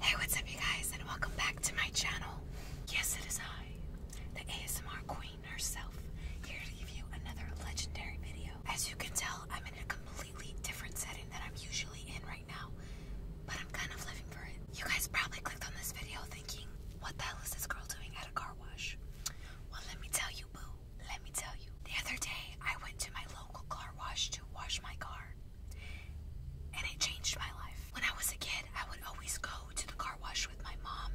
Hey, what's up, you guys, and welcome back to my channel. Yes, it is I, the ASMR queen herself, here to give you another legendary video. As you can tell, I'm in a completely different setting than I'm usually in right now, but I'm kind of living for it. You guys probably clicked on this video thinking, what the hell is this girl doing at a car wash? Well, let me tell you, boo. Let me tell you. The other day, I went to my local car wash to wash my car and it changed my life. When I was a kid, I would always go to the car wash with my mom,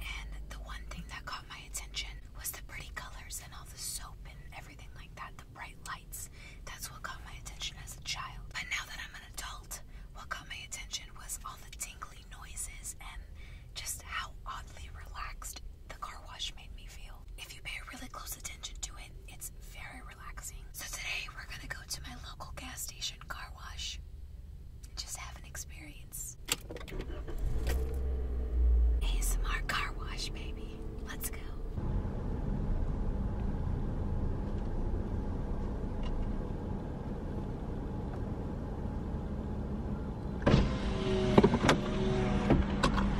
and the one thing that caught my attention was the pretty colors and all the soap and everything like that, the bright lights. That's what caught my attention as a child. But now that I'm an adult, what caught my attention was all the tingly noises and just how oddly relaxed the car wash made me feel. If you pay really close attention to it, it's very so today we're gonna go to my local gas station car wash and just have an experience. ASMR car wash, baby. Let's go.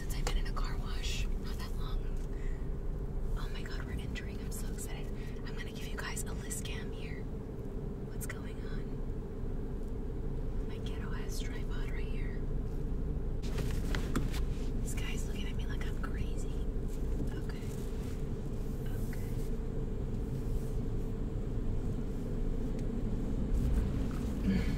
since I've been in a car wash. Not that long. Oh my god, we're entering. I'm so excited. I'm gonna give you guys a list cam here. What's going on? My ghetto ass tripod right here. This guy's looking at me like I'm crazy. Okay. Okay.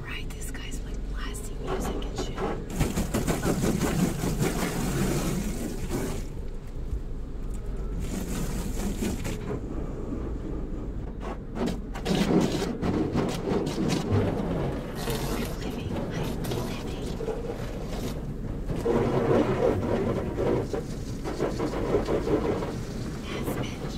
Alright, this guy's like blasting music and shit. I'm living, I'm living. Yes, bitch.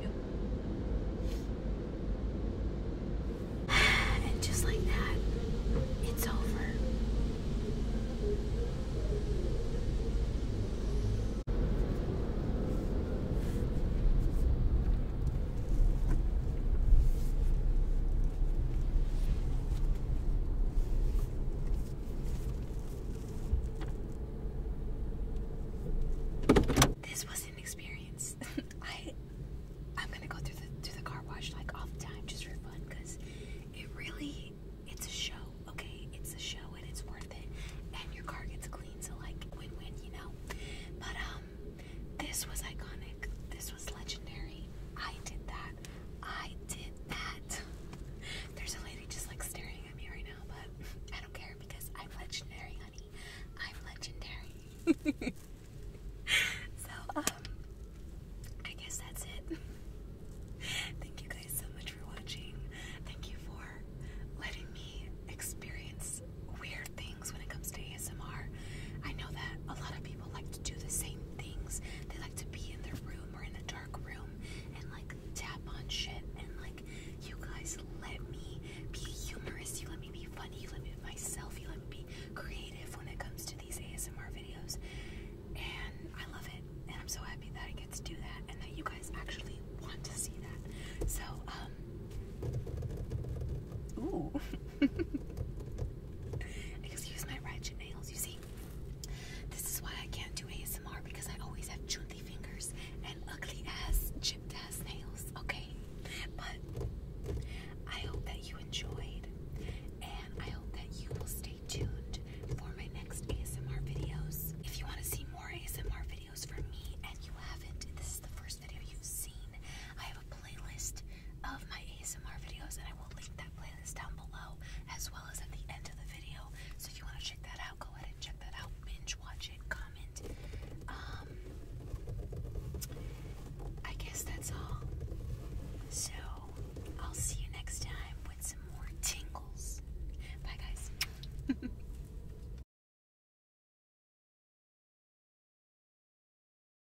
Yep. And just like that, it's over. This was an experience. I I'm gonna go through the through the car wash like all the time just for fun it really it's a show, okay? It's a show and it's worth it. And your car gets clean, so like win-win, you know. But um this was iconic. This was legendary. I did that. I did that. There's a lady just like staring at me right now, but I don't care because I'm legendary, honey. I'm legendary. so, um, I guess that's it. Thank you guys so much for watching. Thank you for letting me experience weird things when it comes to ASMR. I know that a lot of people people like to do the same things. They like to be in their room or in a dark room and like tap on shit. And like, you guys let me be humorous. You let me be funny. You let me be myself. You let me be creative when it comes to these ASMR videos. And I love it. And I'm so happy that I get to do that and that you guys actually want to see that. So, um, ooh. I my ratchet nails, you see. This is why I can't do ASMR because I always have chunty fingers and ugly ass, chipped ass nails, okay? But I hope that you enjoyed, and I hope that you will stay tuned for my next ASMR videos. If you want to see more ASMR videos from me and you haven't, this is the first video you've seen, I have a playlist of my ASMR videos, and I will link that playlist down below as well as at the end of the video. So if you want to check that out, go ahead and check that out. Binge watch it, comment. Um, I guess that's all. So I'll see you next time with some more tingles. Bye, guys.